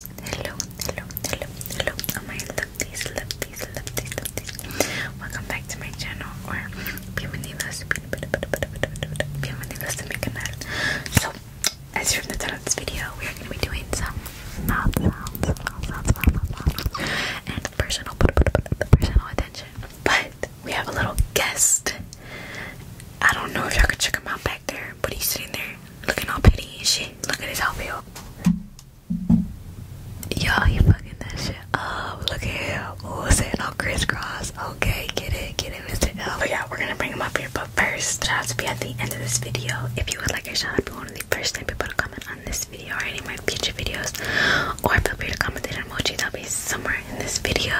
Hello, hello, hello, hello. Oh my lovelies, lovelies, lovelies, lovelies. Welcome back to my channel or bienvenidos, bienvenidos to my canal. So, as you're from the title of this video, we are going to be doing some mouth sounds, mouth sounds, mouth, mouth, mouth, mouth, and personal, personal attention. But we have a little guest. I don't know if y'all could check him out, there, but he's sitting there looking all petty and shit. Look at his outfit. you he fucking that shit up. Look at him. Oh, saying all crisscross. Okay, get it, get it, Mr. L. But yeah, we're gonna bring him up here. But first, it out to be at the end of this video. If you would like a shout be one of the first 10 people to comment on this video or any of my future videos. Or feel free to comment the emoji that will be somewhere in this video.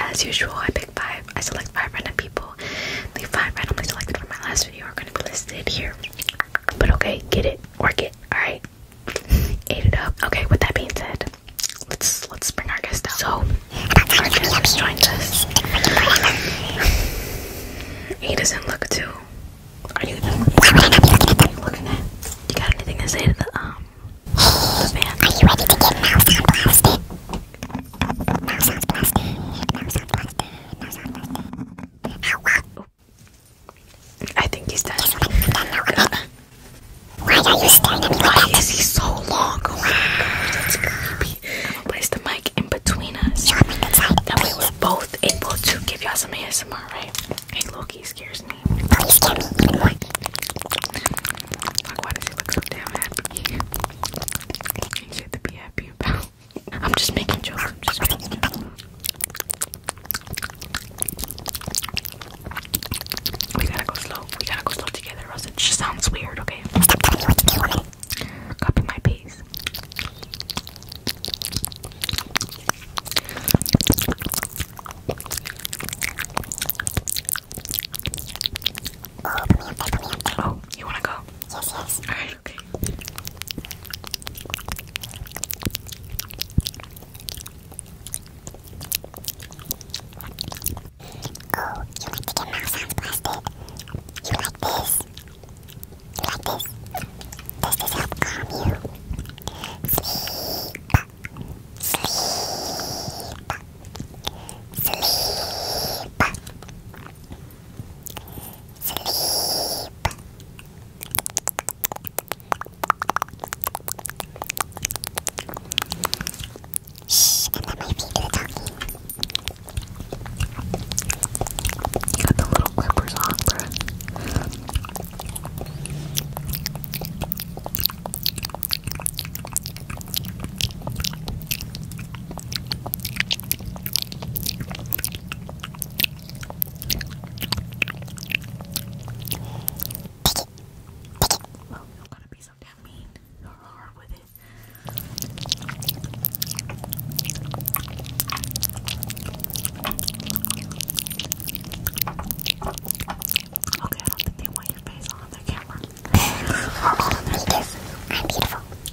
As usual, I pick five I select five random people. The five randomly selected from my last video are going to be listed here. But okay, get it, work it. All right, ate it up. Okay, with that being said, let's let's bring our guest out. So our guest joins us. He doesn't look too. Are you, looking at? You got anything to say to the um? The fan? Are you ready to get mouse blasted? I think he's dead. Why are you staring at me like is he so long? Oh that's creepy. I'm gonna place the mic in between us. Show me the side, that we were both able to give y'all some ASMR, right? Hey, Loki scares me. why does he look so damn happy? He should be happy about I'm just making jokes. We gotta go slow. We gotta go slow together, or it just sounds weird, okay? Copy my pace. Oh, you wanna go? Yes, yes. Alright, okay. Oh, you like mouth sounds blasted? You like this? like this? this help calm you? Sleep. Sleep. Sleep. Sleep. Shh, and then my feet do the talking. Got the little clippers on, bro. Okay, I don't think they want your face on their camera. or I'm beautiful.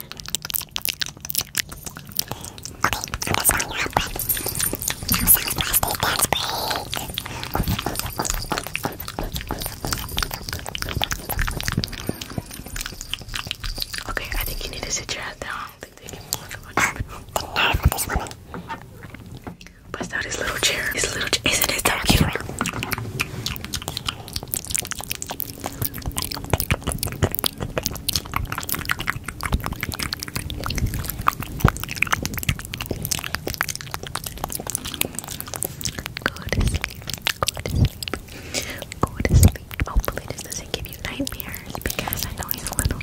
Okay, I think you need to sit your ass down. I don't think they can watch much. The nerve of this woman. Bust out his little chair. His little chair. Isn't it so cute? Go to sleep. Go to sleep. Go to sleep. Hopefully this doesn't give you nightmares because I know he's a little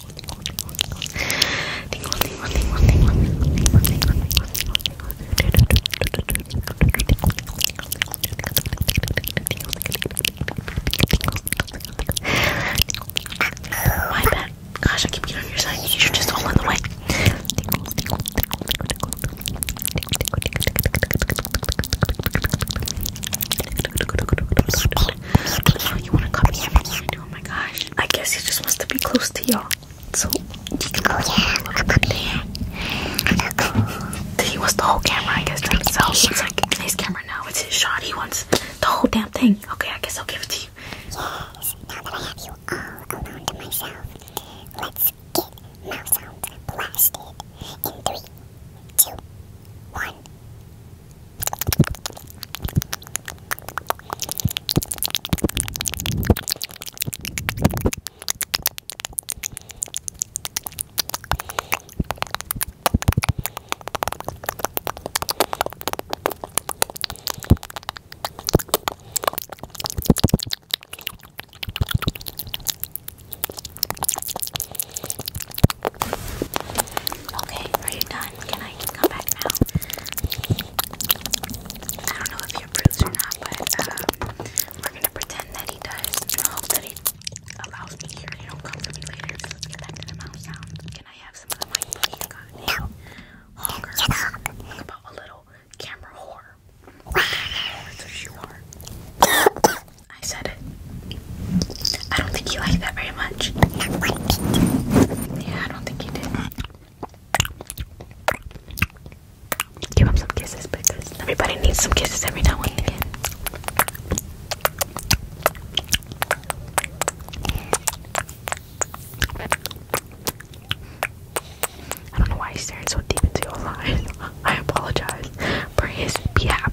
My bad. Gosh, I keep getting on your side. You should just hold on the way. Oh, you want to come here? oh my gosh. I guess he just wants to be close to y'all. So you can go yeah. He wants the whole camera, I guess, to himself. It's like it's his camera now, it's his shot. He wants the whole damn thing. Okay, I guess I'll give it to you. Okay, are you done? Can I come back now? I don't know if he approves or not, but uh, we're gonna pretend that he does. hope that he allows me here. He don't come for me later. get back to the mouth sound. Can I have some of the mic, please? God about a little camera whore. That's you are. I said it. I don't think you like that, right? very Yeah, I don't think you did. Give him some kisses because everybody needs some kisses every now and again. I don't know why he's staring so deep into your eyes. I apologize for his behalf.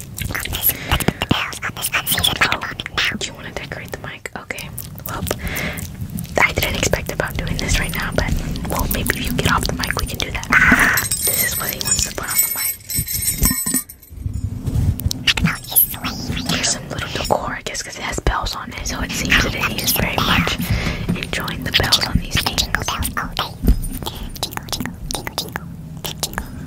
Do you want to decorate the mic? Okay. Well, I didn't expect about doing this right now, but well, maybe if you get off the mic, we can do that. This is what he wants to put on the mic. There's some little decor, I guess, because it has bells on it, so it seems that he is very much enjoying the bells on these things.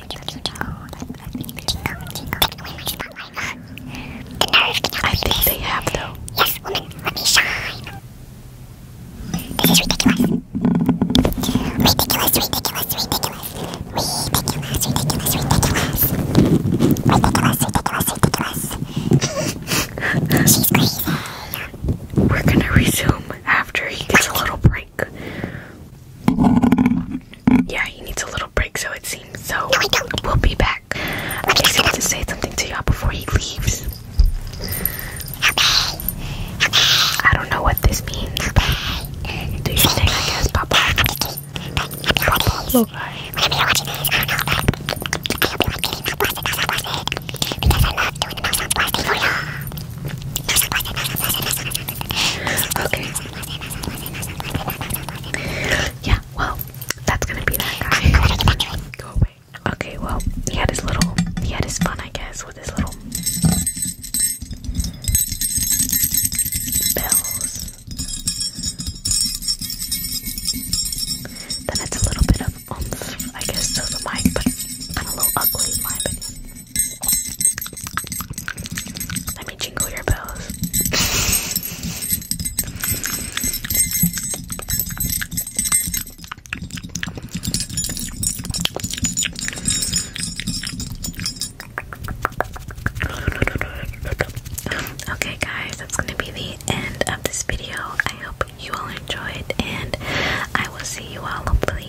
I think they have though. Yes, woman, let me shine. This is ridiculous. Ridiculous, ridiculous, ridiculous. Ridiculous, ridiculous, ridiculous. We're gonna resume after he gets a little break. Yeah, he needs a little break, so it seems. So we'll be back. I just want to say something to y'all before he leaves. I don't know what this means. Do you think Papa? Okay. Yeah, well, that's gonna be that guy. Go away. Okay, well, he had his little, he had his fun, I guess, with his little bells. Then it's a little bit of I guess, to the mic, but kind of a little ugly, in my opinion. Let me jingle your bells. okay, guys, that's going to be the end of this video. I hope you all enjoyed, and I will see you all hopefully